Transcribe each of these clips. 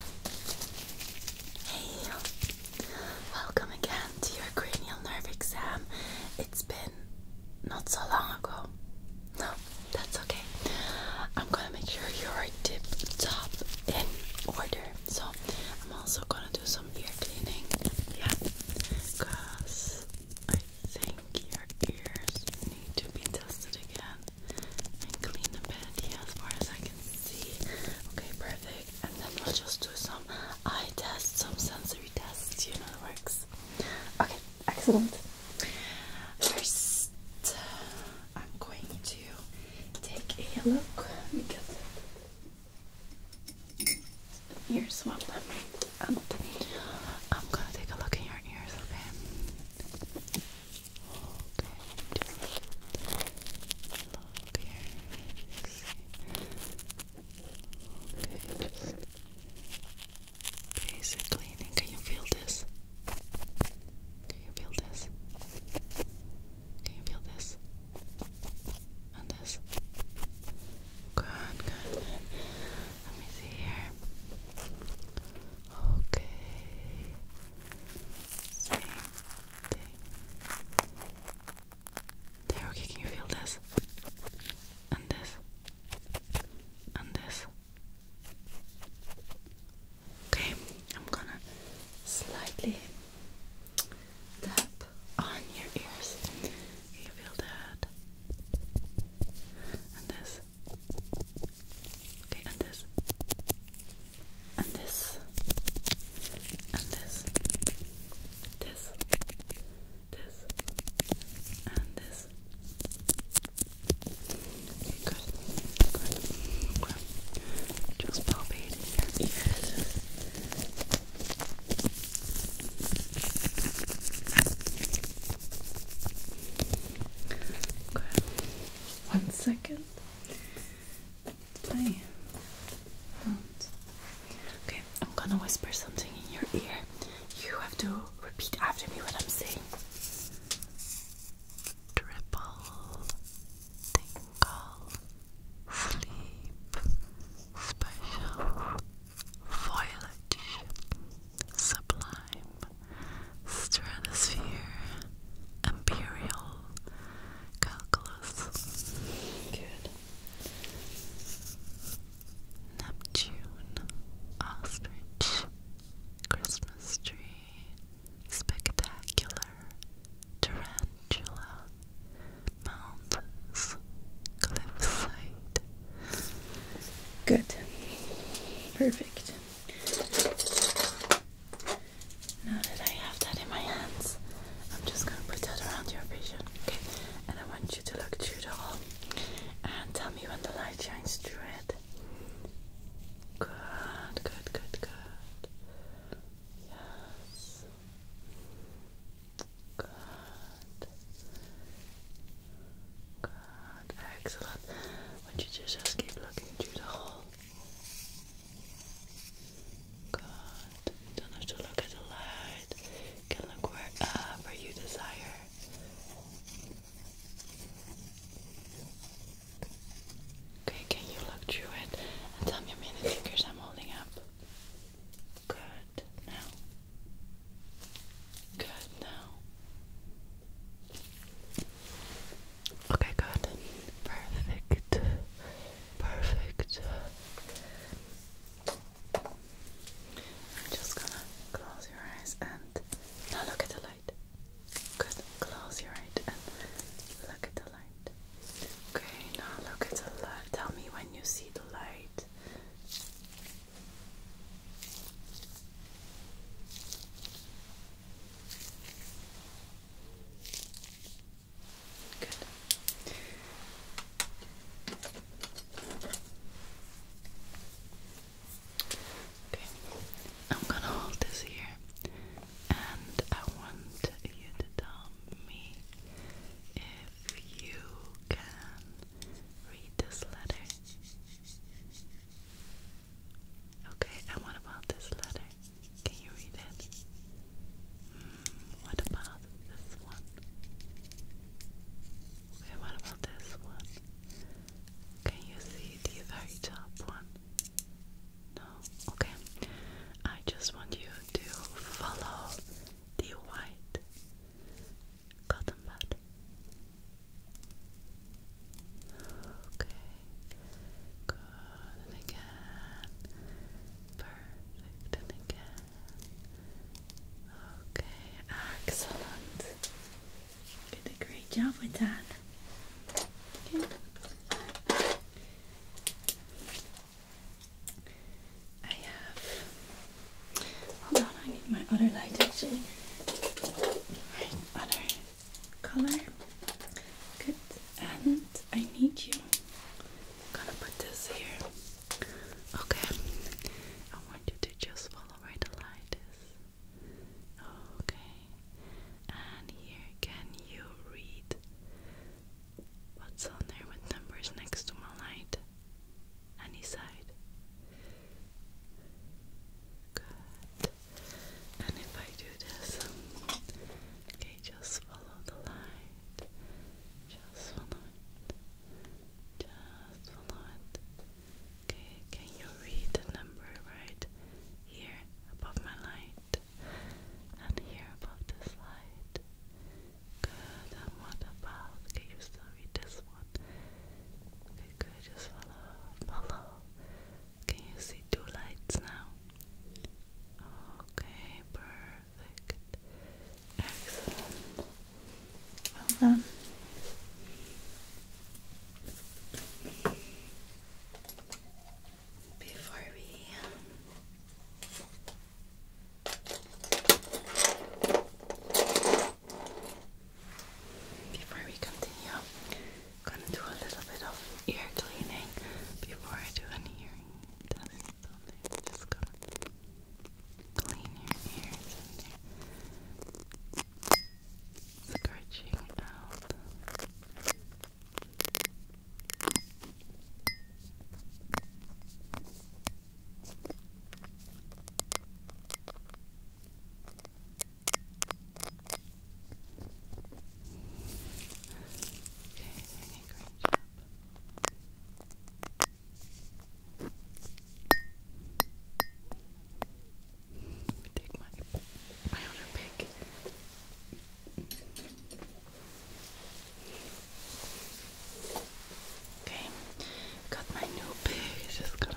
Hey, welcome again to your cranial nerve exam. It's been not so long ago. No, that's okay. I'm gonna make sure you're tip top in order. So, I'm also gonna do some ear cleaning. Yeah, because I think your ears need to be tested again and clean the bed here as far as I can see. Okay, perfect. And then we'll just do some eye tests, some sensory tests. You know it works. Okay, excellent. First, uh, I'm going to take a look. Let me get I'm gonna take a look in your ears, okay? Okay, just basic cleaning. Can you feel this? Can you feel this? Can you feel this? And this? Good, good, good. Let me see here. Okay. Same thing. okay, can you feel this? And this. And this. Okay, I'm gonna slightly tap on your ears. you feel that? And this. Okay, and this. And this. And this. This. This. And this. Good. Good. Good. Just palpate your ears. One second. Okay, I'm gonna whisper something in your ear. You have to repeat after me what I'm saying. Triple tingle sleep special foliage sublime stratosphere, imperial, calculus. Good. Neptune, ostrich, Christmas tree, spectacular, tarantula, mountains, cliffside. Good. Perfect. Now that I have that in my hands, I'm just gonna put that around your vision, okay? And I want you to look through the hole and tell me when the light shines through it. Good, good, good, good. Yes. Good. Good. Excellent, excellent. you just keep looking through the hole? Good. don't have to look at the light. can look wherever you desire. Okay, can you look through it and tell me how many fingers I'm holding up? Good. Now. Good. Now. Okay, good. Perfect. Perfect. I'm just gonna close your eyes and now look at the light. Good. Close your eyes and look at the light. Okay, now look at the light. Tell me when you see the light. I'm gonna hold this here, and I want you to tell me if you can read this letter. Okay, and what about this letter? Can you read it? Hmm, what about this one? Okay, what about this one? Can you see the very top one? No? Okay. I just want you to follow the white cotton bud. Okay, good, and again, perfect, and again, okay, excellent, you did a great job with that, I have, hold on, I need my other light actually, other color. Good. And I need you. gonna put this here. Okay. I want you to just follow where the light is. Okay. And here, can you read what's on there with numbers next to my light? Any side? Good. And if I do this, okay, just follow the light. Just follow it. Just follow it. Okay, can you read the number right here above my light? And here above this light. Good, and what about? Can you start? read this one. Okay, good. Just follow, follow. Can you see two lights now? Okay, perfect. Excellent. Well done. Before we um, before we continue, I'm gonna do a little bit of ear cleaning before I do any hearing test. So I'm just gonna clean your ears and your out doing a great job. Take my my other pick. Okay, got my new pig. Just gonna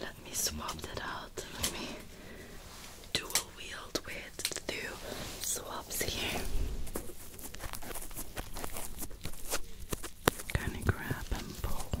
Let me swap that out. Let me dual wield with two swabs here. Kind of grab and pull.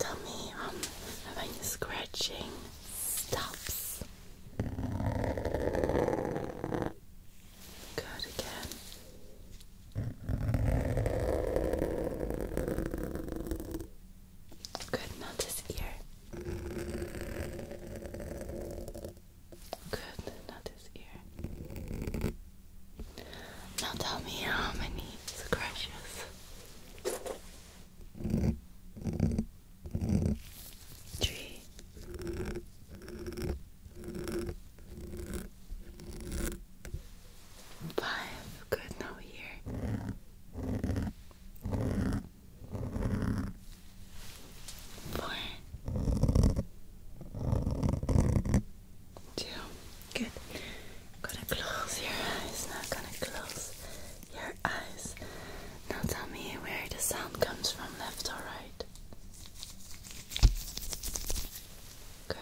Tell me, um, if scratching stops. Good again. Good, not this ear. Good, not his ear. Now tell me how many scratches. Three. Five. Good, now here. Four. Two. Good. gonna close your eyes. Now gonna close your eyes. Now tell me where the sound comes from, left or right. Good.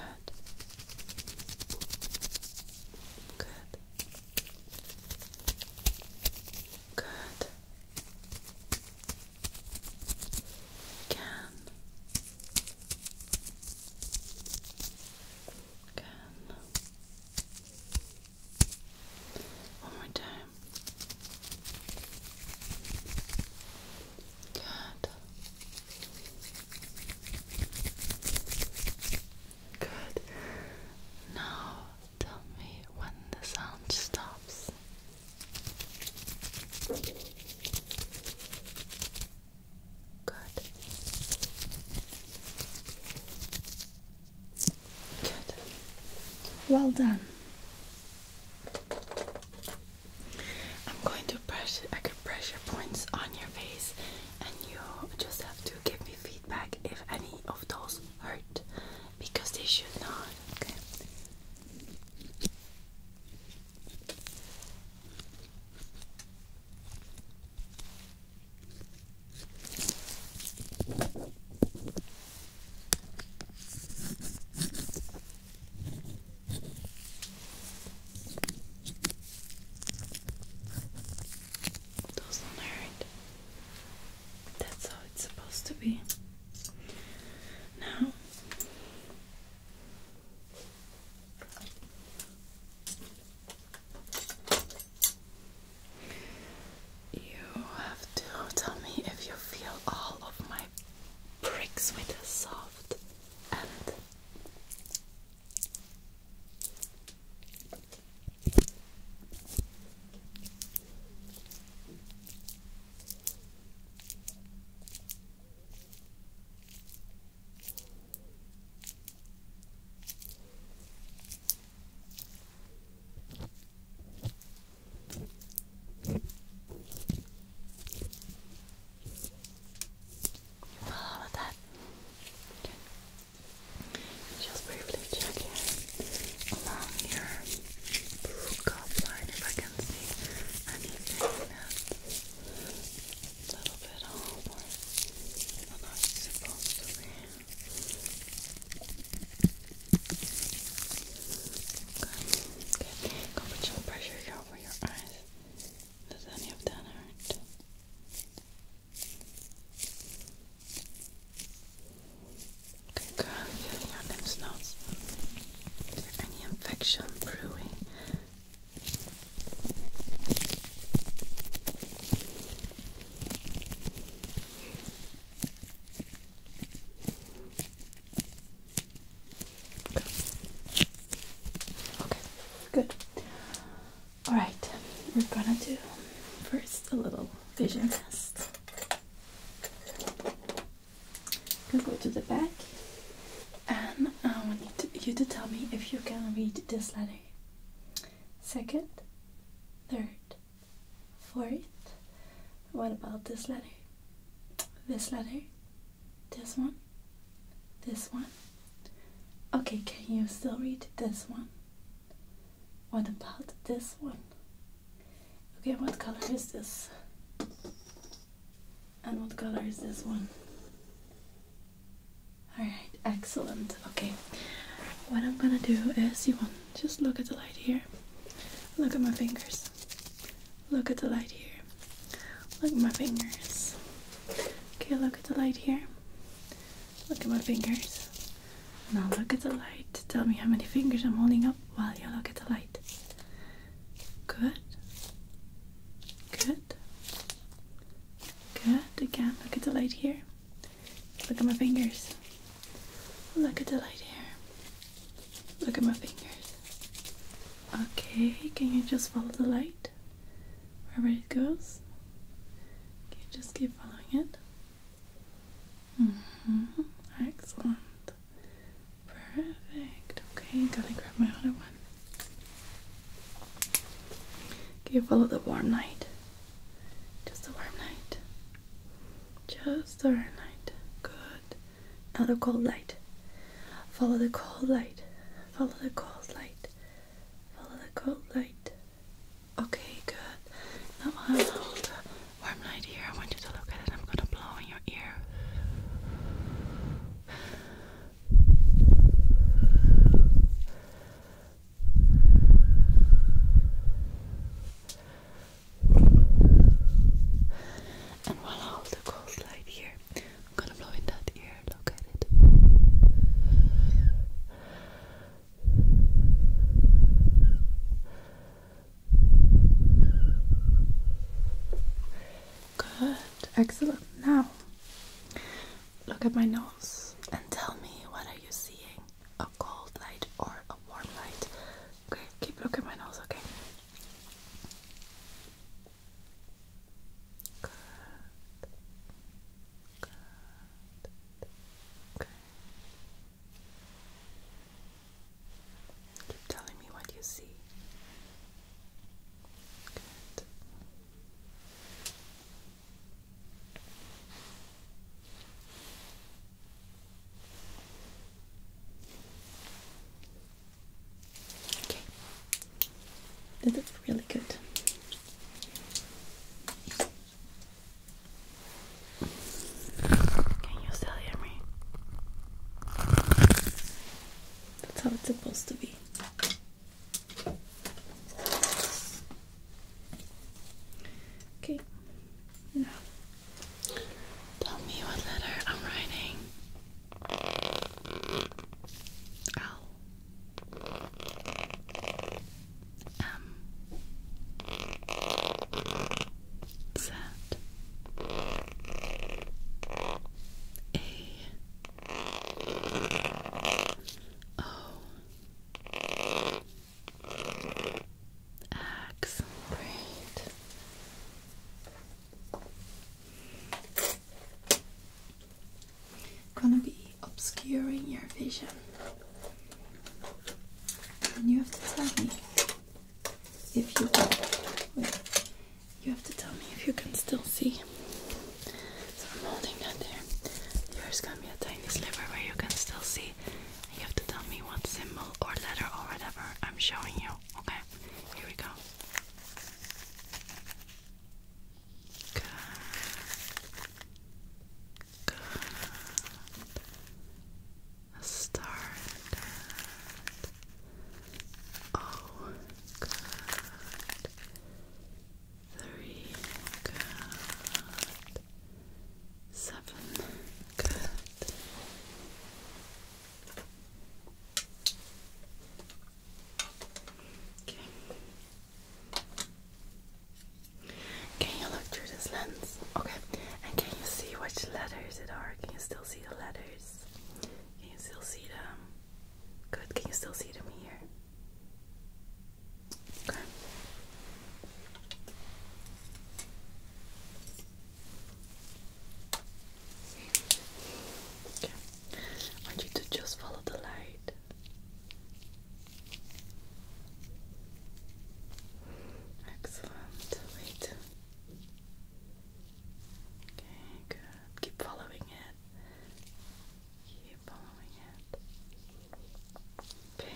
Good. Good can can one more time good good now tell me when the sound stops Good. Good. Well done. I'm going to pressure acupressure points on your face and you just have to give me feedback if any of those hurt because they should not. Okay. Doesn't hurt. That's how it's supposed to be. Now, you have to tell me if you feel all of my pricks with a soft end. How about that? Just briefly check here along your blue cup line if I can see anything a little bit off or not supposed to Okay, good. Go put some pressure here over your eyes. Does any of that hurt? girl, feeling your lymph any infection brewing? Okay, good. Alright, we're gonna do first a little vision test go to the back, and I want you to tell me if you can read this letter. Second, third, fourth. What about this letter? This letter? This one? This one? Okay, can you still read this one? What about this one? Okay, what color is this? And what color is this one? Alright, excellent. Okay, what I'm gonna do is you want just look at the light here. Look at my fingers. Look at the light here. Look at my fingers. Okay, look at the light here. Look at my fingers. Now look at the light. Tell me how many fingers I'm holding up while you look at the light. Good. Good. Good. Again, look at the light here. Look at my fingers. Look at the light here. Look at my fingers. Okay, can you just follow the light? Wherever it goes? Can you just keep following it? Mm-hmm. Excellent. Perfect. Okay, gotta grab my other one. Okay, follow the warm light. Just the warm light. Just the warm light. Good. Now the cold light. Follow the cold light. Follow the cold light. Follow the cold light. Okay, good. Now I'll hold warm light here. I want you to look at it. I'm gonna blow in your ear. And while I hold the cold light here, I'm gonna blow in that ear. Look at it. Good, excellent. Now, look at my nose and tell me what are you seeing? A cold light or a warm light? Okay, keep looking my nose, okay? Good. Good. Okay. Keep telling me what you see. Good. Okay. This is really good. Can you still hear me? That's how it's supposed to be. Okay. Now, tell me what letter I'm writing. L um, Great. Gonna be obscuring your vision. And you have to tell me if you can. you have to tell me if you can still see. So I'm holding that there. There's gonna be a tiny sliver where you can still see. you have to tell me what symbol or letter or whatever I'm showing you. Okay, here we go. Good. Started. Oh, good. Three, good. Seven, good. Okay. Can you look through this lens? Okay. And can you see which letters it are? Can you still see the letters? Can you still see them? Good. Can you still see them here? Okay. I want you to just follow the light. Excellent. Wait. Okay, good. Keep following it. Keep following it. Okay,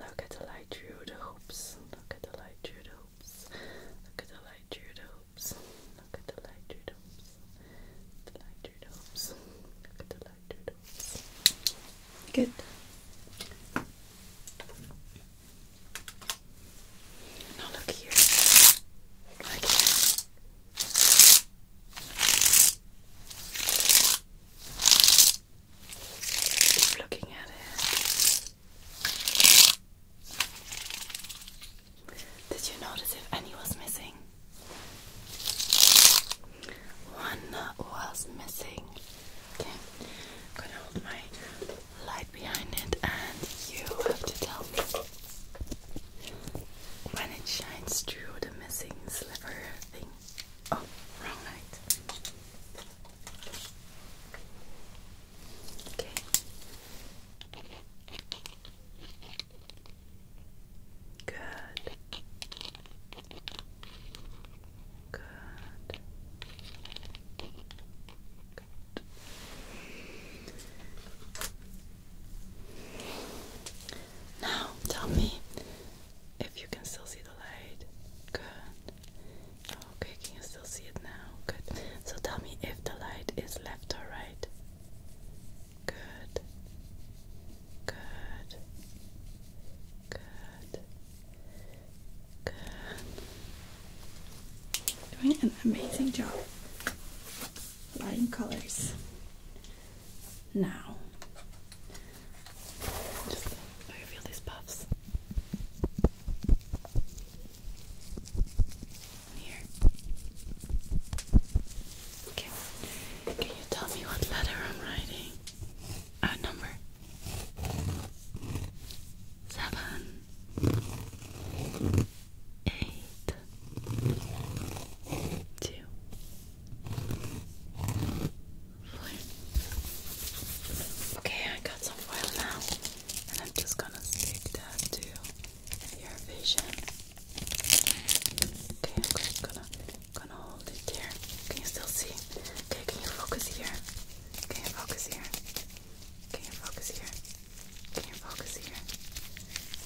look at the light through the hoops. Look at the light through the hoops. Look at the light through the hoops. Look at the light through the hoops. The light through the hoops. Look at the Good. Now look here. looking at it. Did you notice if any was missing? One was missing. Okay, I'm gonna hold my light behind it, and you have to tell me when it shines through the missing sliver thing. Oh, wrong light. Okay. Good. Good. Good. Now tell me if you can still see the light. Good. Okay, can you still see it now? Good. So tell me if the light is left or right. Good. Good. Good. Good. Doing an amazing job. Lighting colors. Now, just I these puffs here. Can you tell me what letter I'm writing? Uh, number. Seven. Okay, I got some foil now, and I'm just gonna stick that to your vision. Okay, I'm just gonna gonna hold it there. Can you still see? Okay, can you focus here? Can you focus here? Can you focus here? Can you focus here?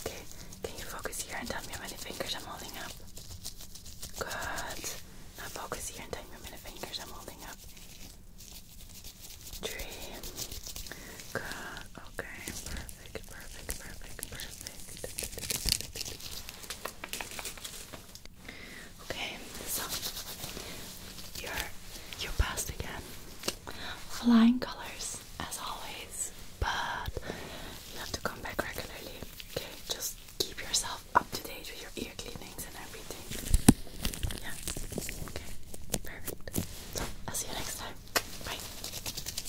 Okay, can you focus here and tell me how many fingers I'm holding up? Good. Now focus here and tell me how many fingers I'm holding up. Three. Good. Okay, perfect, perfect, perfect, perfect. Okay, so you're you're again. Flying colors as always, but you have to come back regularly. Okay, just keep yourself up to date with your ear cleanings and everything. Yeah. Okay. Perfect. So I'll see you next time. Bye.